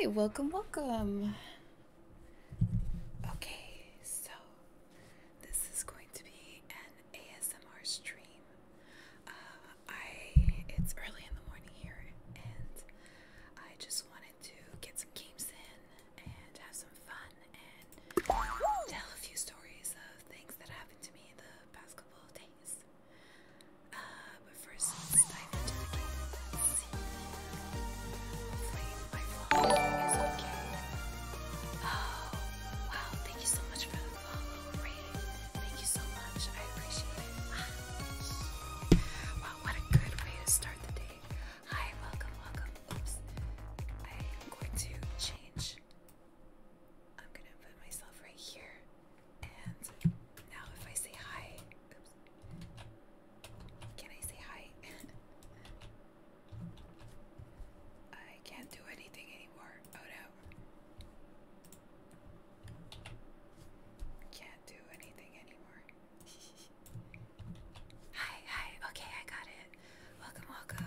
Hi, welcome, welcome. Okay, so this is going to be an ASMR stream. Uh, I it's early in the morning here, and I just wanted to get some games in and have some fun and tell a few stories of things that happened to me in the past couple days. Uh, but first, let's dive into the game. Let's follow is okay. Oh, wow. Thank you so much for the follow, Ray. Thank you so much. I appreciate it. Ah, wow, what a good way to start the day. Hi, welcome, welcome. Oops. I'm going to change. I'm going to put myself right here. And now if I say hi, Can I say hi? I can't do anything anymore. Oh no. Can't do anything anymore. Hi, hi. Okay, I got it. Welcome, welcome.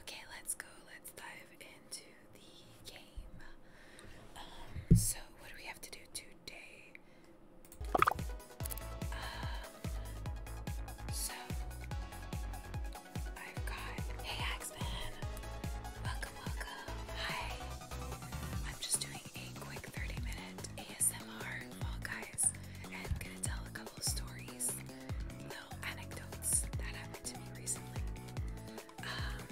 Okay, let's go. Let's dive into the game. Um, so what do we have to do today? Um, so I've hey Axman. Welcome, welcome. Hi. I'm just doing a quick 30 minute ASMR Guys and I'm gonna tell a couple stories, little anecdotes that happened to me recently. Um,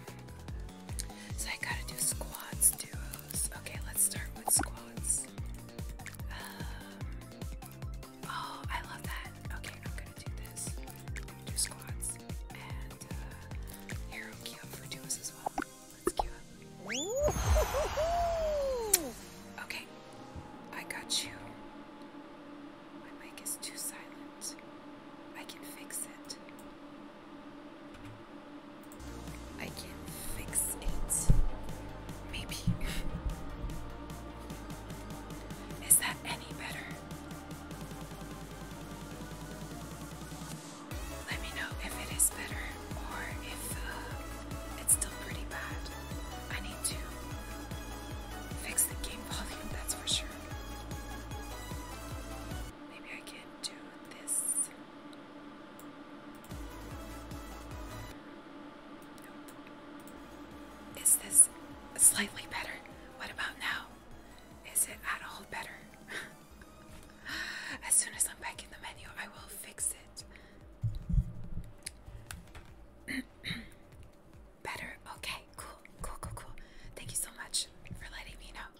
so I gotta do squats, duos. Okay, let's start with squats. Um, oh, I love that. Okay, I'm gonna do this. Do squats and uh, for duos as well. Okay, I got you. My mic is too silent. I can fix it. I can fix it. Maybe. Is that any better? Let me know if it is better or if uh, it's still pretty bad. I need to fix the game volume, that's for sure. Maybe I can do this. Is this slightly better? What about now? Is it at all better? As soon as I'm back in the menu, I will fix it. Better? Okay, cool, cool, cool, cool. Thank you so much for letting me know.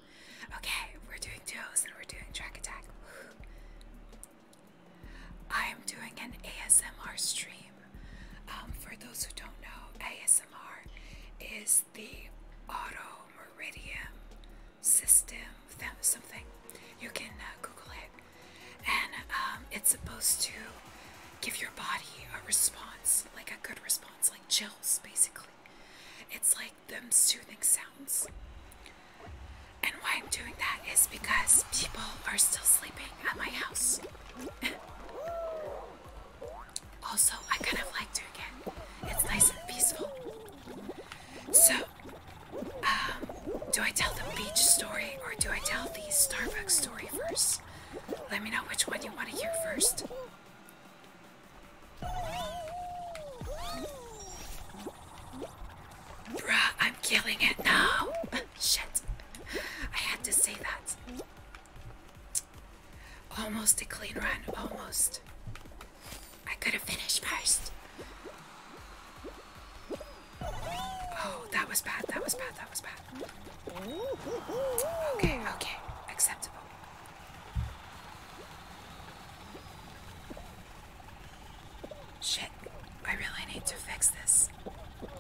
Okay, we're doing duos and we're doing track attack. I'm doing an ASMR stream. Um, for those who don't know, ASMR is the auto iridium system something. You can uh, Google it, and um, it's supposed to give your body a response, like a good response, like chills, basically. It's like them soothing sounds. And why I'm doing that is because people are still sleeping at my house. also, I kind of like to it. It's nice and peaceful. So do I tell the beach story or do I tell the Starbucks story first? Let me know which one you want to hear first. Bruh, I'm killing it now. Shit. I had to say that. Almost a clean run, almost. I could have finished first. Oh, that was bad. That was bad. That was bad. Okay, okay. Acceptable. Shit. I really need to fix this. What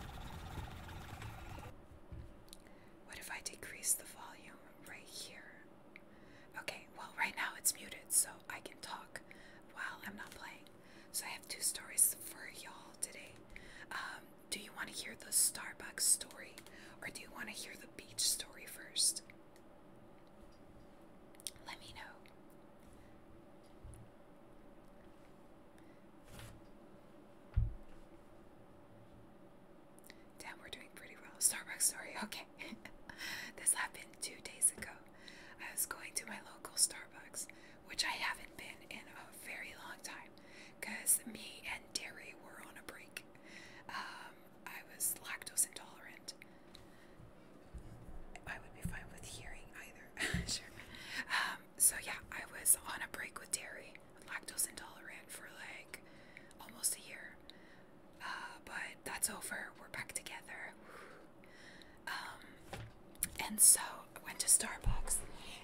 if I decrease the volume right here? Okay, well, right now it's muted, so I can talk while I'm not playing. So I have two stories for y'all today. Um, do you want to hear the Starbucks story or do you want to hear the beach story first? Let me know. Damn, we're doing pretty well. Starbucks story, okay. this happened two days ago. I was going to my local Starbucks, which I haven't been in a very long time because me and dairy were on a break. Um, I was lactose intolerant. I would be fine with hearing either. sure. Um, so, yeah, I was on a break with dairy, lactose intolerant for like almost a year. Uh, but that's over. We're back together. Um, and so I went to Starbucks,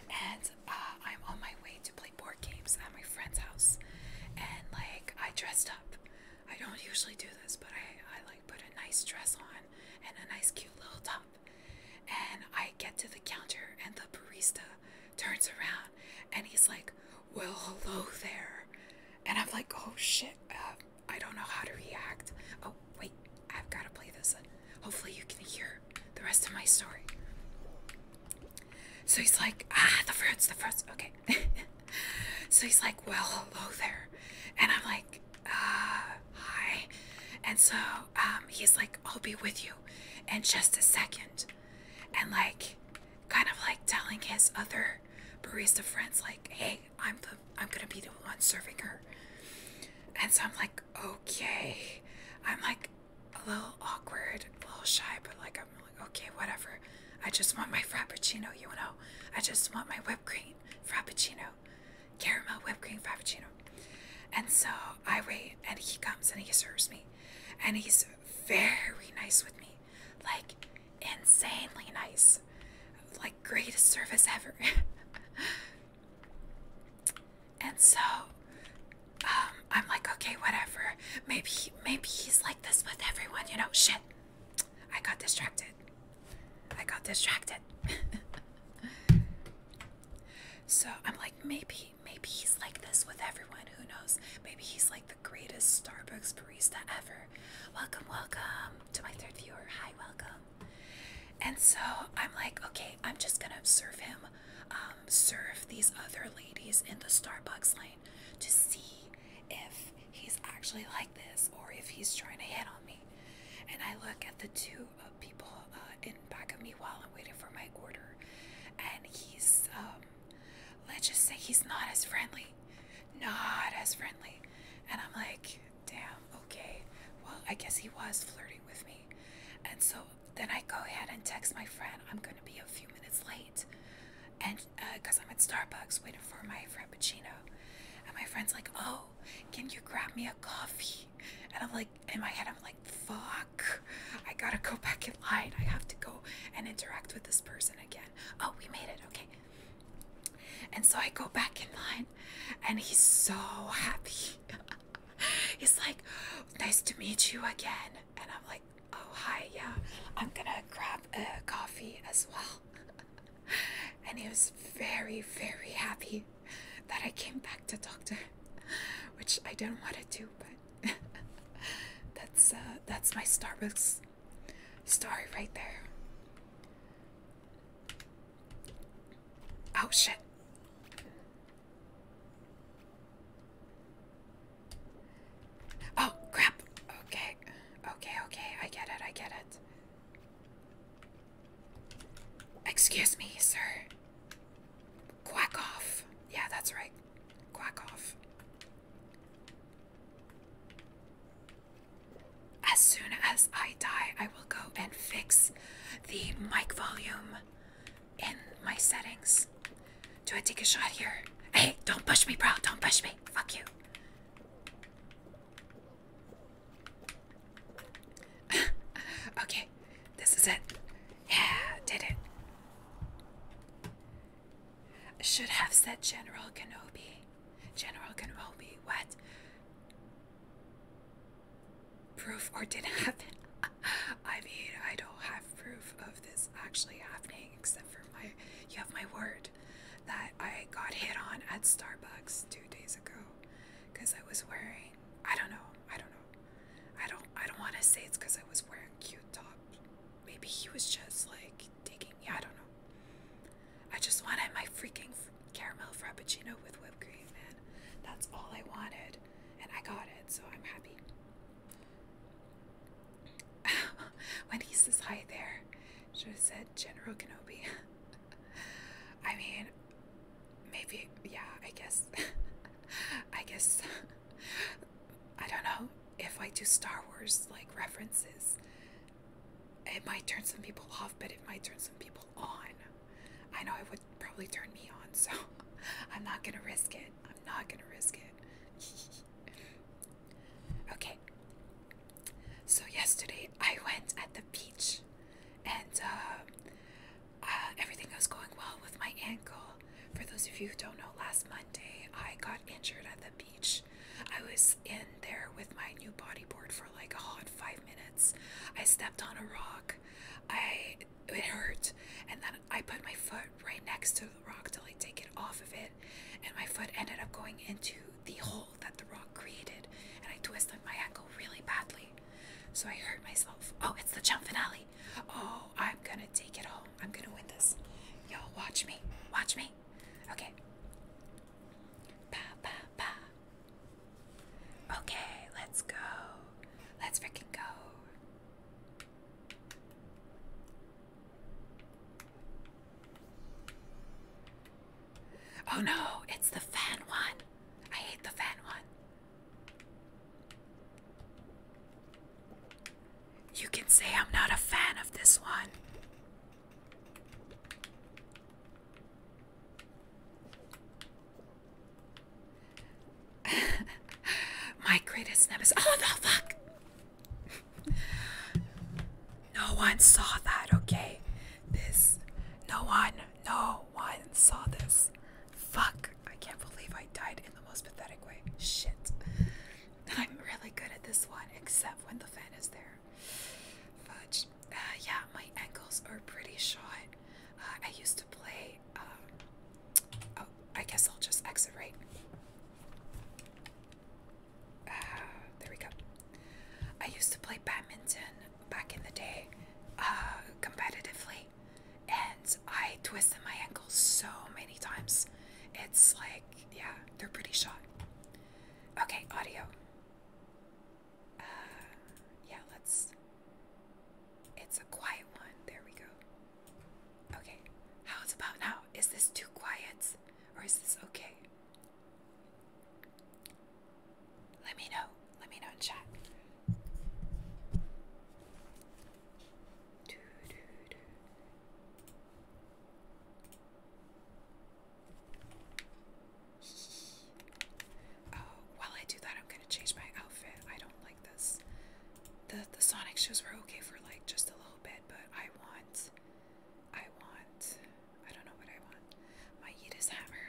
and uh, I'm on my way to play board games at my friend's house. And like I dressed up. I don't usually do this, but I, I like put a nice dress on and a nice cute little top. And I get to the counter, and the barista turns around, and he's like, "Well, hello there." And I'm like, "Oh shit." Uh, I don't know how to react. Oh, wait, I've got to play this. Hopefully, you can hear the rest of my story. So he's like, ah, the fruits, the fruits. Okay. so he's like, well, hello there. And I'm like, uh, hi. And so um, he's like, I'll be with you in just a second. And like, kind of like telling his other barista friends, like, hey, I'm the I'm gonna be the one serving her. And so I'm like, okay. I'm like a little awkward, a little shy, but like I'm like, okay, whatever. I just want my frappuccino, you know. I just want my whipped cream frappuccino. Caramel whipped cream frappuccino. And so I wait and he comes and he serves me. And he's very nice with me. Like insanely nice. Like, greatest service ever. and so, um, I'm like, okay, whatever. Maybe, maybe he's like this with everyone, you know? Shit. I got distracted. I got distracted. so I'm like, maybe, maybe he's like this with everyone. Who knows? Maybe he's like, the greatest Starbucks barista ever. Welcome, welcome to my third viewer. Hi, welcome. And so I'm like, okay, I'm just gonna serve him um, serve these other ladies in the Starbucks line to see if he's actually like this or if he's trying to hit on me. And I look at the two uh, people uh, in back of me while I'm waiting for my order, and he's um, let's just say he's not as friendly not as friendly. And I'm like, damn, okay. Well, I guess he was flirting with me. And so then I go ahead and text my friend, I'm going to be a few minutes late. And because uh, I'm at Starbucks waiting for my Frappuccino. And my friend's like, oh, can you grab me a coffee? And I'm like, in my head, I'm like, fuck, I gotta go back in line. I have to go and interact with this person again. Oh, we made it. Okay. And so I go back in line, and he's so happy. he's like, Nice to meet you again. And I'm like, Oh, hi, yeah. I'm gonna grab a coffee as well. and he was very, very happy that I came back to talk to him, which I do not want to do, but that's uh, that's my Starbucks that's story right there. Oh shit. Oh crap. Okay. Okay, okay. I get it. I get it. Excuse me, sir. Quack off. Yeah, that's right. Quack off. As soon as I die, I will go and fix the mic volume in my settings. Do I take a shot here? Hey, don't push me, bro. Don't push me. Fuck you. okay, this is it. Yeah, did it. Should have said General Kenobi. General Kenobi, what? Proof or didn't happen? I mean, I don't have proof of this actually happening except for my. You have my word that I got hit on at Starbucks two days ago because I was wearing. I don't know. I don't know. I don't. I don't want to say it's because I was wearing cute top. Maybe he was just like digging. Yeah, I don't know. I just wanted my freaking caramel frappuccino with whipped cream, man. That's all I wanted, and I got it, so I'm happy. when he says hi there, should have said General Kenobi. I mean, maybe, yeah, I guess. I guess. I don't know if I do Star Wars like references it might turn some people off, but it might turn some people on. I know it would probably turn me on, so I'm not gonna risk it. I'm not gonna risk it. okay. So yesterday I went at the beach, and uh, uh, everything was going well with my ankle. For those of you who don't know, last Monday I got injured at the beach. I was in there with my new body board for like a hot five minutes. I stepped on a rock. I it hurt, and then I put my foot right next to the rock to like take it off of it, and my foot ended up going into the hole that the rock created, and I twisted my ankle really badly. So I hurt myself. Oh, it's the jump finale. Oh, I'm gonna take it home. I'm gonna win this. Yo, watch me. Watch me. Okay, Pa pa pa. Okay, let's go. Let's fricking go. Oh no, it's the fan one. I hate the fan one. You can say I'm not a fan of this one. My greatest nemesis. Oh no, fuck! no one saw that, okay? This. No one, no one saw this. Fuck. I can't believe I died in the most pathetic way. Shit. I'm really good at this one, except when the fan is there. Fudge. Uh, yeah, my ankles are pretty shot. Uh, I used to play. Um, oh, I guess I'll just exit right. Uh, there we go. I used to play badminton back in the day, competitively, and I twisted my ankles so many times. It's like, yeah, they're pretty shot. Okay, audio. Uh, yeah, let's. It's a quiet one. There we go. Okay, how's about now? Is this too quiet or is this okay? Let me know. Let me know in Oh, while I do that, I'm gonna change my outfit. I don't like this. The the Sonic shoes were okay for like just a little bit, but I want I want I don't know what I want. My Yeetus hammer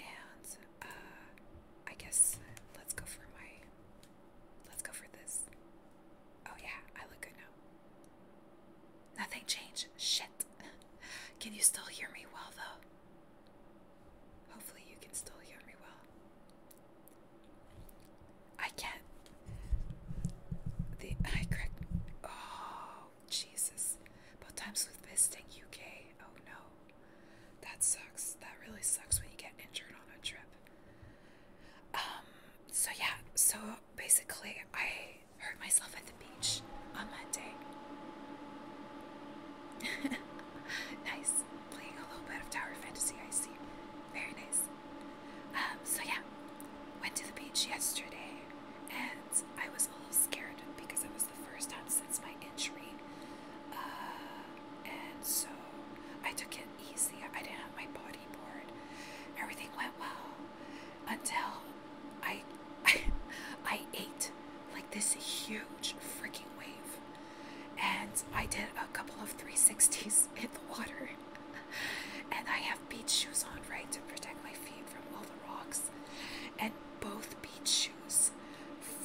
and uh I guess let's go for my let's go for this. Oh, yeah, I look good now. Nothing changed. Shit. Can you still hear me well, though? Hopefully, you can still hear me well. I can't. The I correct. Oh, Jesus. Both times with visiting UK. Oh, no. That sucks. That really sucks when you get injured on a trip. Um, so yeah, so basically, I hurt myself at the beach on Monday. nice. Playing a little bit of Tower Fantasy, I see. Very nice. Um, so yeah, went to the beach yesterday, and I was a little scared because it was the first time since my injury. Uh, and so I took it easy. I didn't have my body board. Everything went well until I, I, I ate like this huge freaking wave, and I did a couple of 360s in the water. And I have beach shoes on, right, to protect my feet from all the rocks. And both beach shoes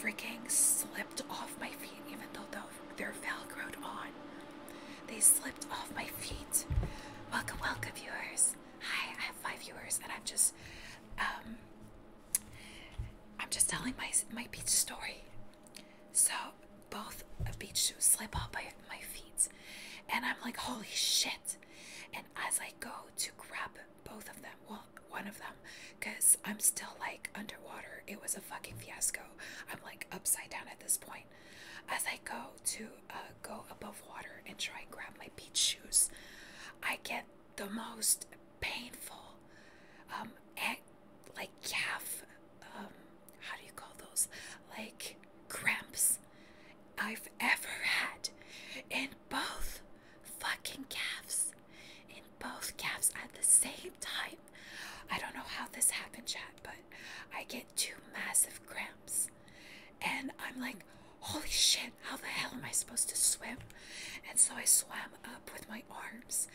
freaking slipped off my feet, even though they're Velcroed on. They slipped off my feet. Welcome, welcome, viewers. Hi, I have five viewers, and I'm just, um, I'm just telling my my beach story. So both beach shoes slip off my my feet, and I'm like, holy shit! And as I go to grab both of them, well, one of them, because I'm still like underwater. It was a fucking fiasco. I'm like upside down at this point as I go to uh, go above water and try and grab my beach shoes. I get the most painful, um, like calf, um, how do you call those? Like cramps I've ever had in both fucking calves, in both calves at the same time. I don't know how this happened, yet, but I get two massive cramps. And I'm like, holy shit, how the hell am I supposed to swim? And so I swam up with my arms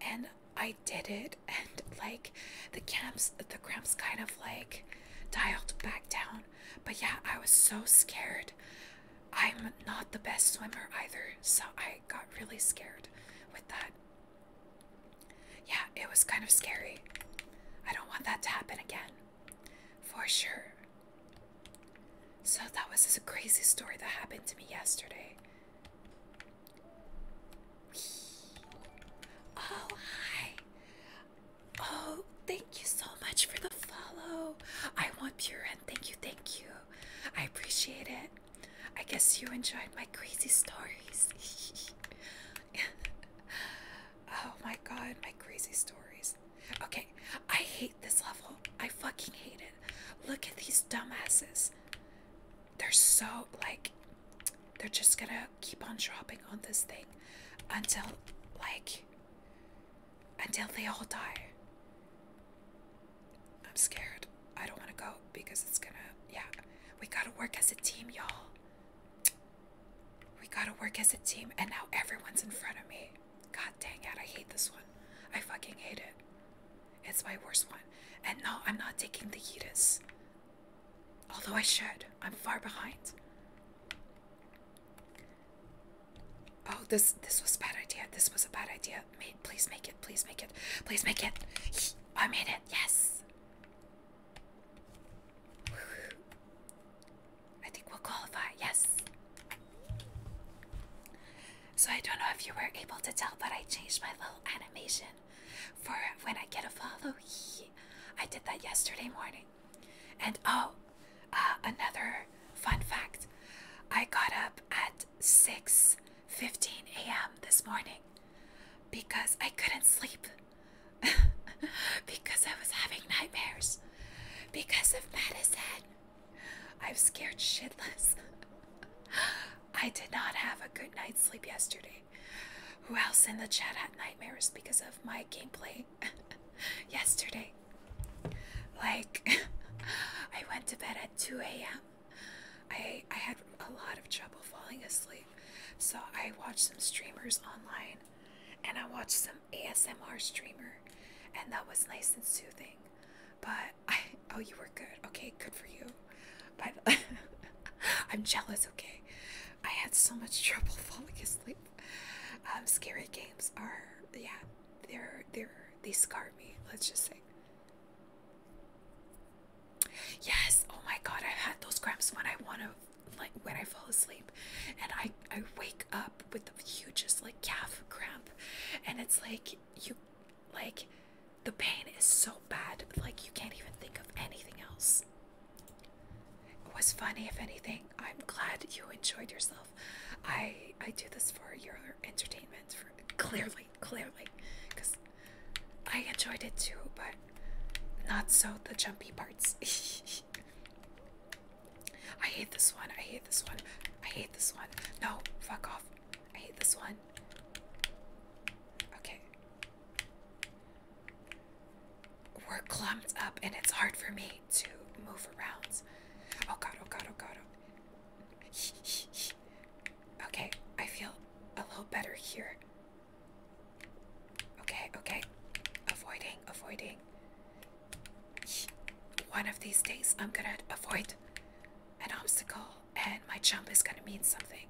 and I did it. And like the cramps, the cramps kind of like dialed back down. But yeah, I was so scared. I'm not the best swimmer either, so I got really scared with that. Yeah, it was kind of scary. I don't want that to happen again. For sure. So that was just a crazy story that happened to me yesterday. Oh, hi. Oh, thank you so much for the follow. I want pure and thank you, thank you. I appreciate it. I guess you enjoyed my crazy stories. oh my god, my crazy stories. Okay, I hate this level. I fucking hate it. Look at these dumbasses. They're so like they're just gonna keep on dropping on this thing until like until they all die. I'm scared. I don't wanna go because it's gonna yeah. We gotta work as a team, y'all. We gotta work as a team, and now everyone's in front of me. God dang it, I hate this one. I fucking hate it. It's my worst one. And no, I'm not taking the Yeetus. Although I should, I'm far behind. Oh, this this was a bad idea. This was a bad idea. Mate, please make it. Please make it. Please make it. I made it. Yes. I think we'll qualify, yes. So I don't know if you were able to tell, but I changed my little animation for when I get a follow. I did that yesterday morning. And oh, uh, another fun fact. I got up at 6:15 a.m. this morning because I couldn't sleep. because I was having nightmares because of medicine. I'm scared shitless. I did not have a good night's sleep yesterday. Who else in the chat had nightmares because of my gameplay yesterday? Like, I went to bed at 2 a.m. I, I had a lot of trouble falling asleep. So I watched some streamers online and I watched some ASMR streamer and that was nice and soothing. But I oh you were good. Okay, good for you. But I'm jealous, okay? I had so much trouble falling asleep. Um, scary games are yeah, they're they're they scar me, let's just say. Yes. Oh my God. I've had those cramps when I want to, like, when I fall asleep, and I I wake up with the hugest like calf cramp, and it's like you, like, the pain is so bad, like you can't even think of anything else. It was funny, if anything. I'm glad you enjoyed yourself. I I do this for your entertainment, for clearly, clearly, because I enjoyed it too, but not so the jumpy parts. I hate this one. I hate this one. I hate this one. No, fuck off. I hate this one. Okay. We're clumped up and it's hard for me to move around. Oh god, oh god, oh god. Oh. okay, I feel a little better here. Okay, okay. Avoiding, avoiding. One of these days I'm gonna avoid an obstacle and my jump is gonna mean something.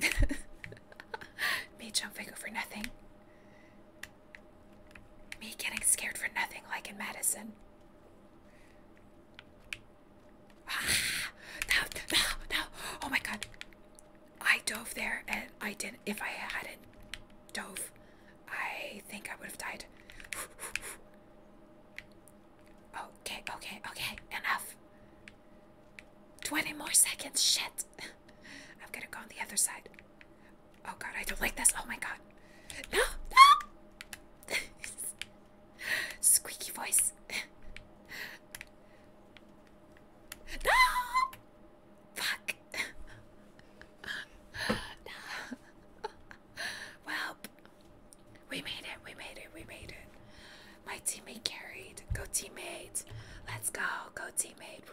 Me jumping over nothing. Me getting scared for nothing like in Madison. Ah, no, no, no. Oh my god. I dove there and I didn't. If I hadn't dove, I think I would have died. Okay, okay, okay. Enough. 20 more seconds. Shit. I'm gonna go on the other side. Oh god, I don't like this. Oh my god. no. Squeaky voice. no! Fuck. Well, we made it. We made it. We made it. My teammate carried. Go teammate. Let's go. Go teammate.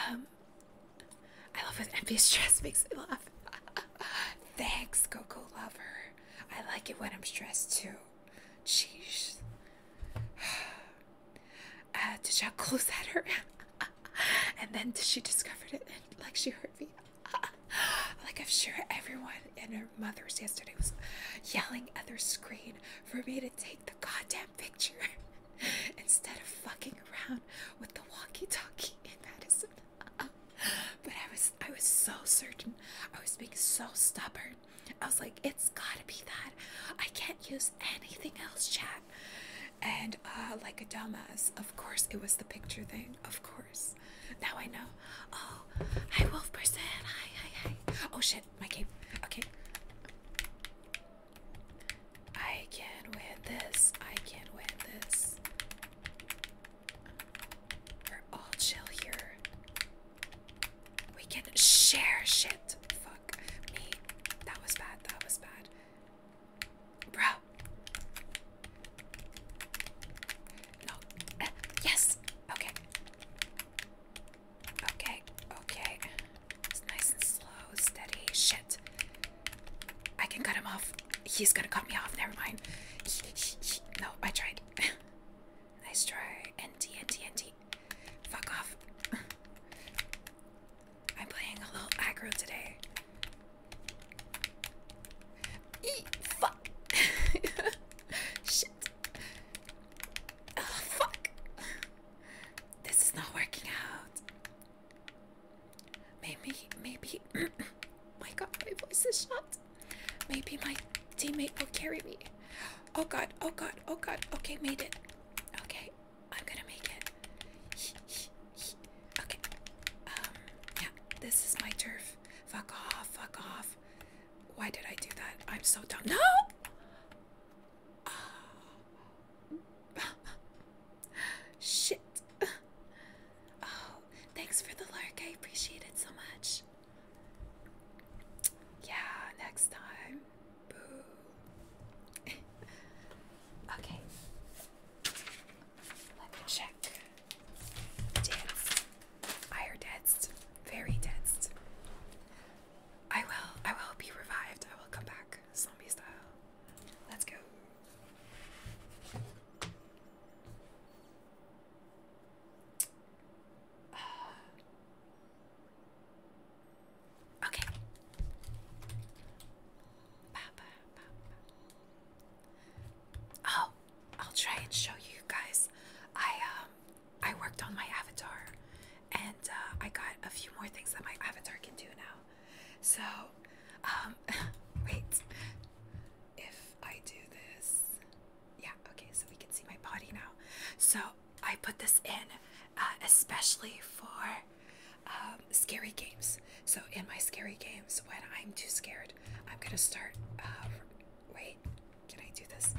um I love when envious stress makes me laugh. Thanks, Coco Lover. I like it when I'm stressed too. Jeez. Uh, did y'all close at her? and then she discovered it and like she heard me. like I'm sure everyone in her mother's yesterday was yelling at their screen for me to take the goddamn picture instead of fucking around with the walkie-talkie in Madison. but I was I was so certain. I was being so stubborn. I was like, it's gotta be that. I can't use anything else, chat. And uh, like Adamas, of course it was the picture thing. Of course. Now I know. Oh, hi Wolf Hi, hi, hi. Oh shit, my game. Okay. I can win this. I can win this. We're all chill here. We can share shit. Fuck me. That was bad. That was bad. Bro. No. Eh, yes. Okay. Okay. Okay. It's nice and slow, steady. Shit. I can cut him off. He's gonna cut me off. Never mind. no, I tried. nice try. NT, NT, NT. Fuck off. I'm playing a little aggro today. fuck. Shit. fuck. This is not working out. Maybe, maybe. my God, my voice is shot. Maybe my teammate will carry me. Oh God! Oh God! Oh God! Okay, made it. Okay, I'm gonna make it. okay. Um. Yeah, this is my turf. Fuck off! Fuck off! Why did I do that? I'm so dumb. No. Shit. Oh, thanks for the lark. I appreciate it so much. Yeah, next time. Boo. okay. Let me check. Dance. I are danced. Very danced. I will. I will be revived. I will come back. Zombie style. Let's go. okay. Ba, ba, Oh, I'll try and show you guys. I um I worked on my avatar and uh, I got a few more things that my avatar can do now. So, um, wait. If I do this, yeah, okay, so we can see my body now. So, I put this in uh, especially for um, scary games. So, in my scary games, when I'm too scared, I'm gonna start. Uh, wait, can I do this?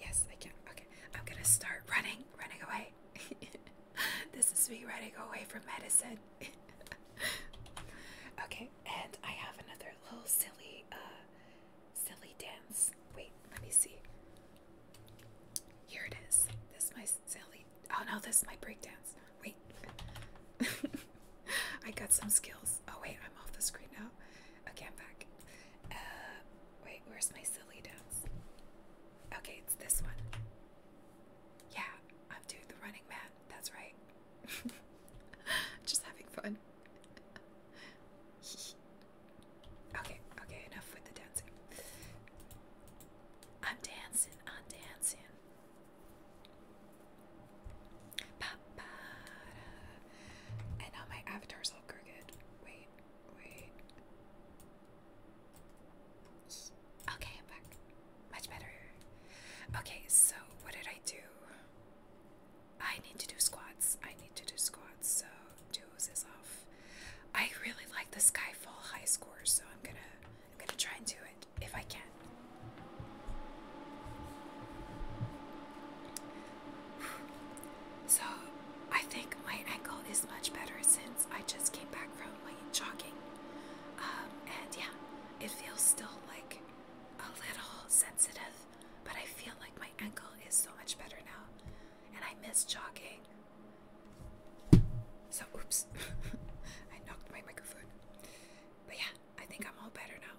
Yes, I can. Okay, I'm gonna start running, running away. this is me running away from medicine. okay, and I have another little silly, uh, silly dance. Wait, let me see. Here it is. This is my silly. Oh no, this is my dance. Wait. I got some skills. Oh wait, I'm off the screen now. Okay, I'm back. Uh, wait, where's my silly dance? Okay, it's this one. Yeah, I'm doing the running man. That's right. Just having fun. okay, okay, enough with the dancing. I'm dancing, I'm dancing. And now my avatars look crooked. Wait, wait. Okay, i back. Much better. Okay, so what did I do? I need to do squats. I need to do squats. So duos is off. I really like the Skyfall high score, so I'm gonna I'm gonna try and do it if I can. So I think my ankle is much better since I just came back from like jogging. Um, and yeah, it feels still like a little sensitive, but I feel like my ankle is so much better now. And I miss jogging. So, oops, I knocked my microphone. But yeah, I think I'm all better now.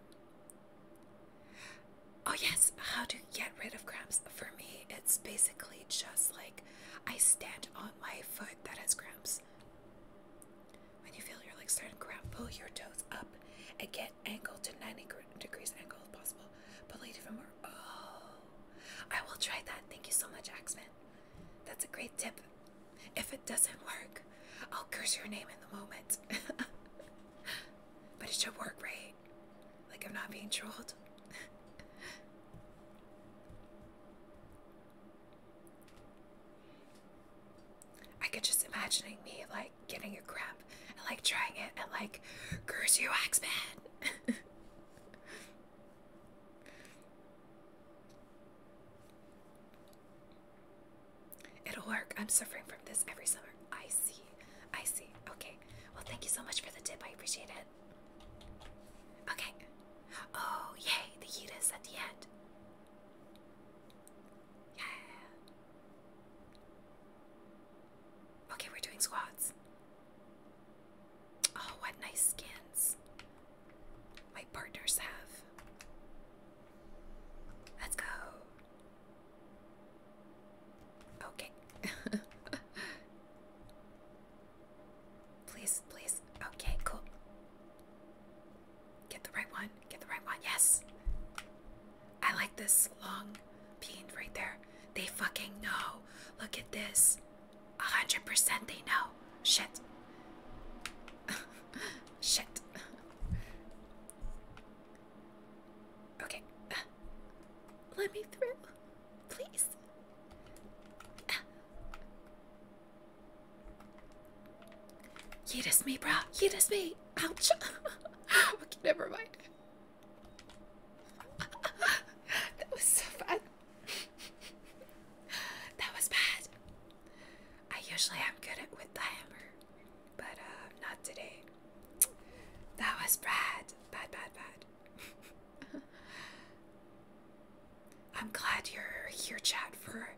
Oh, yes, how to get rid of cramps. For me, it's basically just like I stand on my foot that has cramps. When you feel your legs starting to grab, pull your toes up and get angle to 90 degrees angle if possible. But it from more. Oh, I will try that. Thank you so much, Axman. That's a great tip. If it doesn't work, I'll curse your name in the moment. but it should work, right? Like I'm not being trolled. I could just imagining me like getting a grab and like trying it and like curse you x It'll work. I'm suffering from this every summer. I see. I see. Okay. Well, thank you so much for the tip. I appreciate it. Okay. Oh, yay, the heat at the end. Yeah. Okay, we're doing squats. Oh, what nice skins my partners have. Let's go. Okay. Please, please. Okay, cool. Get the right one. Get the right one. Yes. I like this long bean right there. They fucking know. Look at this. 100% they know. Shit. Shit. Okay. let me through. Please. You Yeetus me, bro. You Yeetus me. Ouch. okay, never mind. that was so bad. that was bad. I usually am good at with the hammer, but uh, not today. That was bad. Bad, bad, bad. I'm glad you're here, chat, for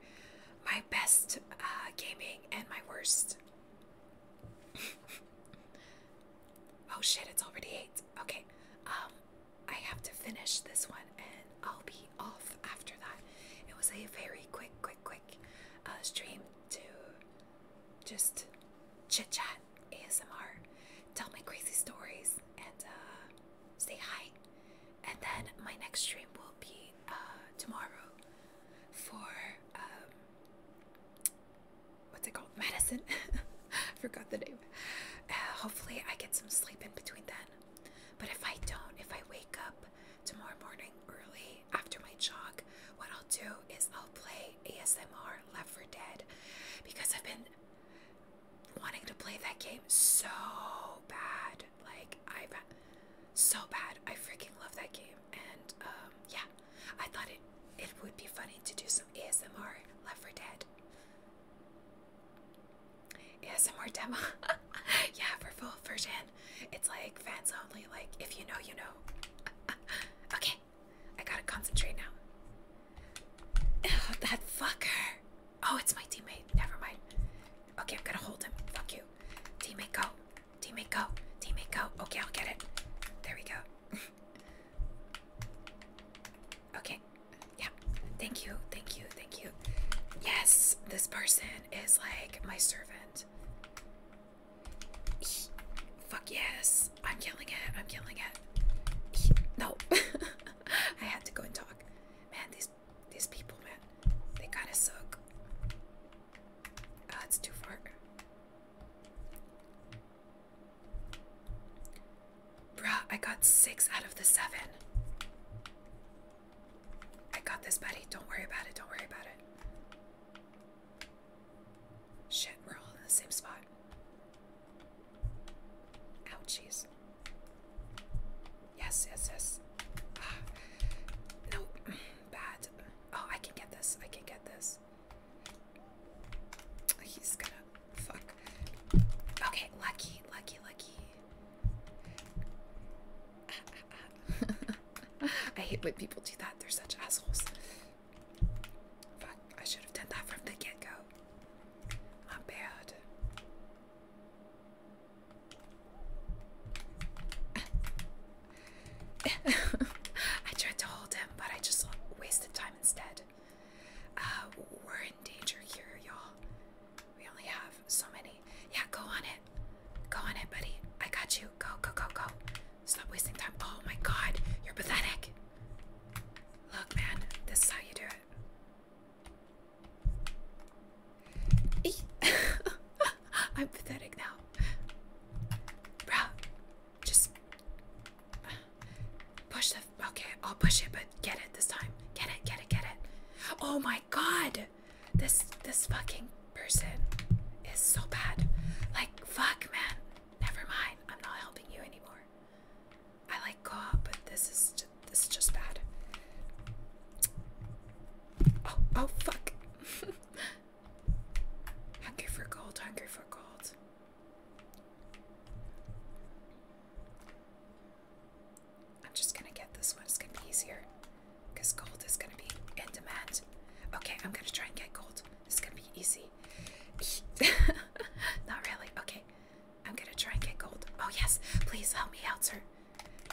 my best uh, gaming and my worst. oh shit, it's already 8. Okay, um, I have to finish this one and I'll be off after that. It was a very quick, quick, quick uh, stream to just chit chat, ASMR, tell my crazy stories, and uh, stay high. And then my next stream will be uh, tomorrow for um, what's it called? Medicine. I Forgot the name. Uh, hopefully, I get some sleep in between then. But if I don't, if I wake up tomorrow morning early after my jog, what I'll do is I'll play ASMR Left for Dead because I've been wanting to play that game so bad. Like, I so bad. I freaking love that game. And um, yeah, I thought it it would be funny to do some ASMR Left 4 Dead. ASMR demo. yeah, for full version. It's like fans only. Like, if you know, you know. okay, I gotta concentrate now. Ugh, that fucker. Oh, it's my teammate. Never mind. Okay, I'm gonna hold him. Fuck you. Teammate, go. Teammate, go. Teammate, go. Okay, I'll get it. There we go. okay. Yeah. Thank you. Thank you. Thank you. Yes, this person is like my servant. Fuck yes. I'm killing it. I'm killing it. No. I had to go and talk man. These these people, man, they kind of suck. oh, it's too far. Bruh, I got six out of the seven. I got this, buddy. Don't worry about it. Don't worry about it. Shit, we're all in the same spot. Ouchies. Yes, yes, yes. Ah, no, bad. Oh, I can get this. I can get this. He's gonna fuck. Okay, lucky, lucky, lucky. I hate when people do that. They're such assholes. Fuck, I should have done that from the get go. My bad. I tried to hold him, but I just wasted time instead. Uh, we're in danger here, y'all. We only have so many. Yeah, go on it. Go on it, buddy. I got you. Go, go, go, go. Stop wasting time. Oh my god, you're pathetic. Look, man, this is how you do it. I'm pathetic now. Just push the okay, I'll push it, but get it this time. Get it, get it, get it. Oh my god! This this fucking person is so bad. Like fuck man. Never mind. I'm not helping you anymore. I like co-op, but this is this is just bad. Oh, oh fuck! hungry for gold, hungry for gold. I'm just gonna get this one. It's gonna be easier because gold is gonna be in demand. Okay, I'm gonna try and get gold. It's gonna be easy. Not really. Okay, I'm gonna try and get gold. Oh yes, please help me out, sir.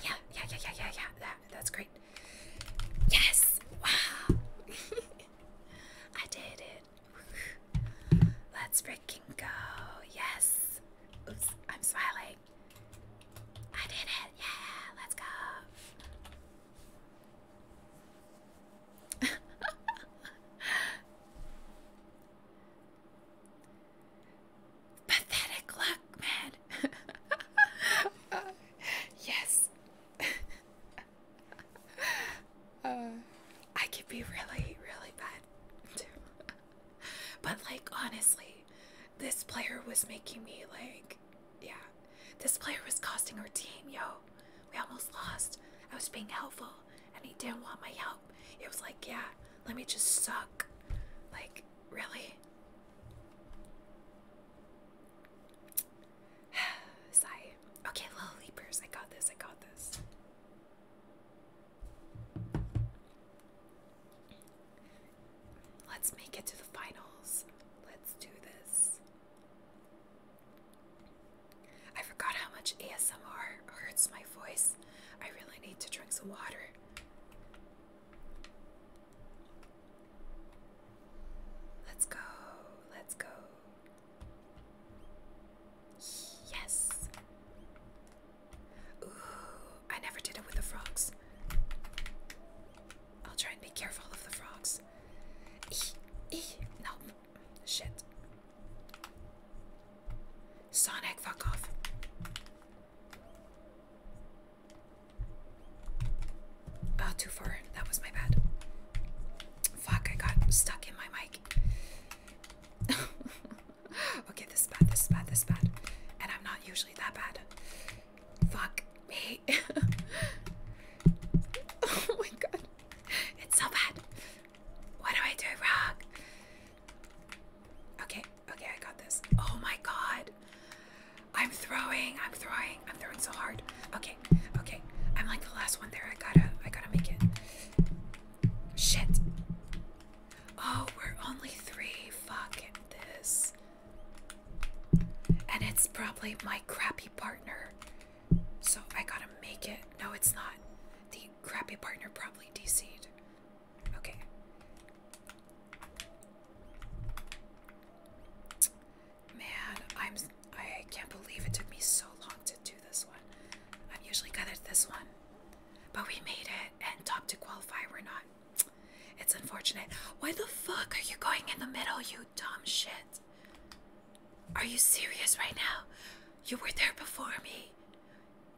Yeah, yeah, yeah, yeah, yeah, yeah. That that's great. Yes! Wow! I did it. Let's freaking go. Yes. Oops, I'm smiling. I did it. Yeah, let's go. Pathetic luck, man. yes. Uh, I could be really, really bad too. but, like, honestly, this player was making me, like, yeah. This player was costing our team, yo. We almost lost. I was being helpful and he didn't want my help. It was like, yeah, let me just suck. Like, really? Sigh. Okay, little leapers, I got this, I got this. Let's make it to the finals. Let's do this. I forgot how much ASMR hurts my voice. I really need to drink some water. Let's go, let's go. Yes. Ooh, I never did it with the frogs. I'll try and be careful of the frogs. Eee, eee, no, Shit. Sonic, fuck off. Oh, too far. That was my bad. Fuck, I got stuck in my mic. okay, this is bad, this is bad, this is bad. And I'm not usually that bad. Fuck me. oh my god. It's so bad. What do I do wrong? Okay, okay, I got this. Oh my god. I'm throwing, I'm throwing, I'm throwing so hard. Okay, okay. I'm like the last one there. I gotta I gotta make it. Shit. Oh, we're only three. Fuck this. And it's probably my crappy partner. So I gotta make it. No, it's not. The crappy partner probably probably Okay. Man, I'm I can't believe it took me so long to do this one. I'm usually good at this one. But we made it and top to qualify we're not. It's unfortunate. Why the fuck are you going in the middle, you dumb shit? Are you serious right now? You were there before me.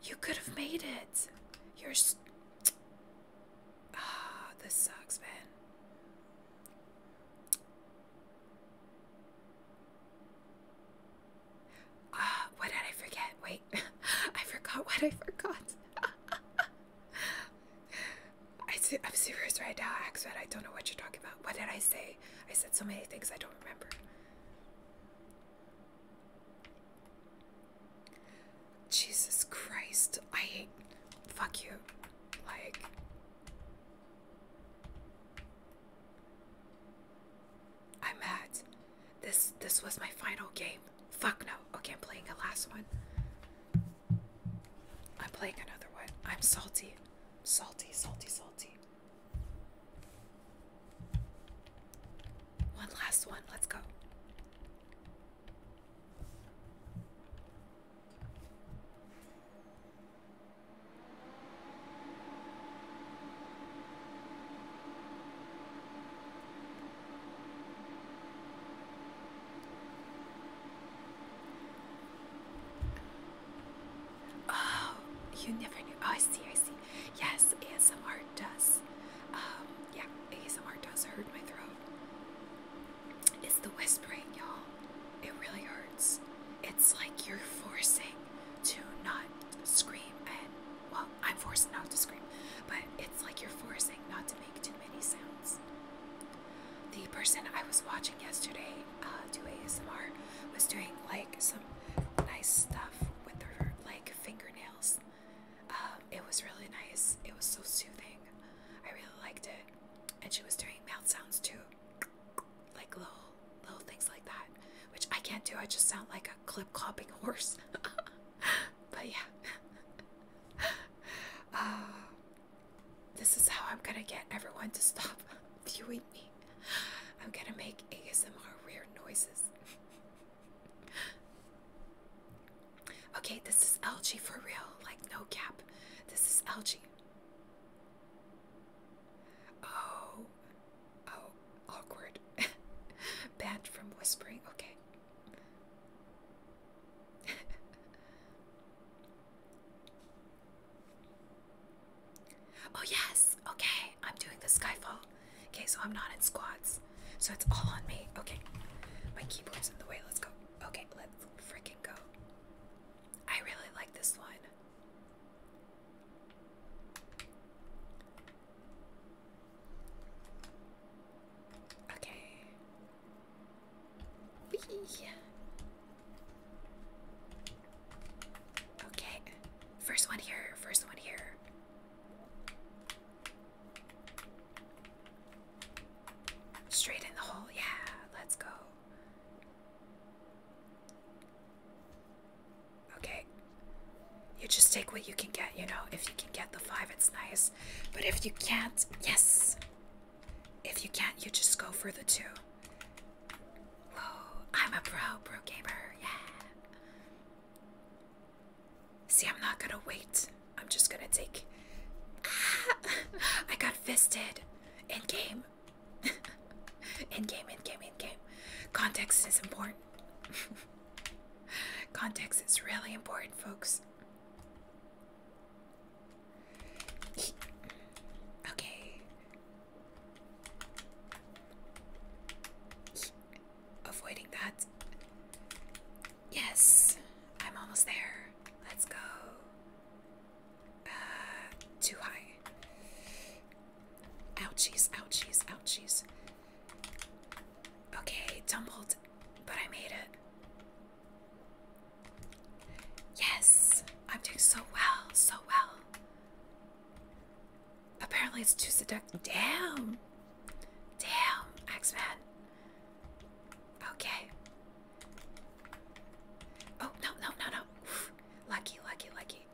You could have made it. You're. Ah, oh, this sucks, man. Ah, what did I forget? Wait, I forgot what I forgot. I am serious right now, Axfed. I don't know what you're talking about. What did I say? I said so many things I don't remember. Jesus Christ, I hate. Fuck you. Like. I'm mad. This this was my final game. Fuck no. Okay, I'm playing a last one. I'm playing another one. I'm salty. Salty, salty, salty. One last one, let's go. Oh, you never knew. Oh, I see, I see. Yes, ASMR does. Um, yeah, ASMR does hurt my throat. It's the whispering, y'all. It really hurts. It's like you're forcing to not scream and, well, I'm forced not to scream, but it's like you're forcing not to make too many sounds. The person I was watching yesterday uh, do ASMR was doing like some nice stuff with her like fingernails. Uh, it was really nice. It was so soothing. I really liked it. And she was doing mouth sounds too, like little little things like that, which I can't do. I just sound like a clip clopping horse. but yeah. Uh, this is how I'm gonna get everyone to stop viewing me. I'm gonna make ASMR weird noises. okay, this is LG for real, like no cap. This is LG. Oh, oh, awkward. Banned from whispering, okay. Oh, yes. Okay. I'm doing the skyfall. Okay, so I'm not in squats. So it's all on me. Okay. My keyboard's in the way. Let's go. Okay, let's freaking go. I really like this one. Okay. Wee. Okay, first one here, first one here. Straight in the hole, yeah, let's go. Okay, you just take what you can get, you know. If you can get the five, it's nice, but if you can't, yes, if you can't, you just go for the two. Whoa, oh, I'm a pro, pro gamer, yeah. See, I'm not gonna wait. I'm just gonna take. Ah, I got fisted. In game. in game, in game, in game. Context is important. Context is really important, folks. Okay, Avoiding that. Yes, I'm almost there. Let's go. Uh, too high. Ouchies, ouchies, ouchies. Okay, tumbled, but I made it. Yes, I'm doing so well, so well. Apparently it's too seductive. Damn! Damn, x Men. Okay. Oh, no, no, no, no. Lucky, lucky, lucky.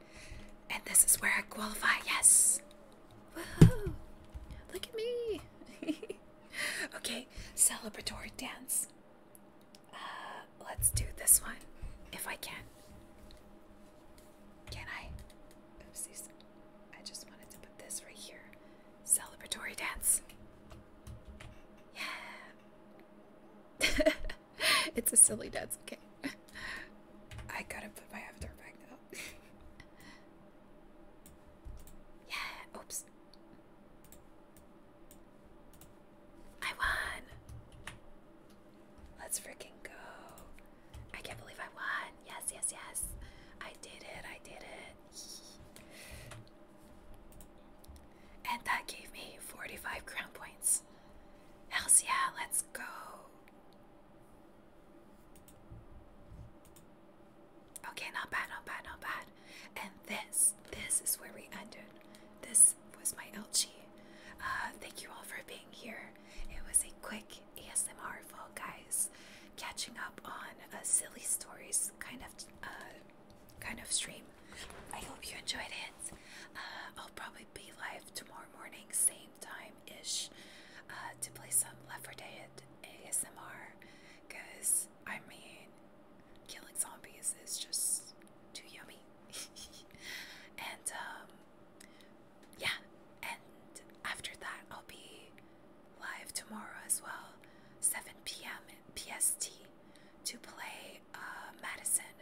And this is where I qualify, yes! Woohoo! Look at me! okay, celebratory dance. Uh, let's do this one if I can. Can I? Oopsies. I just wanted to put this right here. Celebratory dance. Yeah. it's a silly dance, okay. I gotta put my avatar back now. yeah, oops. I won. Let's freaking go. I can't believe I won. Yes, yes, yes. I did it. I did it. And that gave me 45 crown points. Hells yeah, let's go. Okay, not bad, not bad, not bad. And this, this is where we ended. This was my Elchie. Uh, thank you all for being here. It was a quick ASMR fall, guys. Catching up on a silly stories kind of uh, kind of stream. I hope you enjoyed it. Uh, I'll probably be live tomorrow morning, same time ish, uh, to play some Left 4 Dead ASMR. Cause I mean, killing zombies is just too yummy. and um, yeah, and after that, I'll be live tomorrow as well, 7 p.m. PST, to play uh, Madison,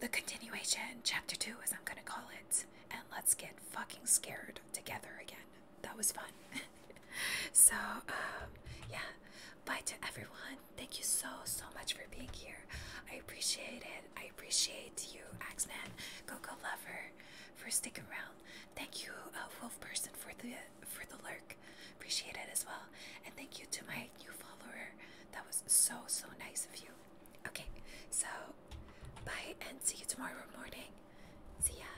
the continuation, chapter 2, as I'm gonna call it. And let's get fucking scared together again. That was fun. so, um, yeah, bye to everyone thank you so, so much for being here. I appreciate it. I appreciate you, X Men, Coco Lover, for sticking around. Thank you, uh, Wolf Person, for the for the lurk. Appreciate it as well. And thank you to my new follower. That was so, so nice of you. Okay, so bye and see you tomorrow morning. See ya.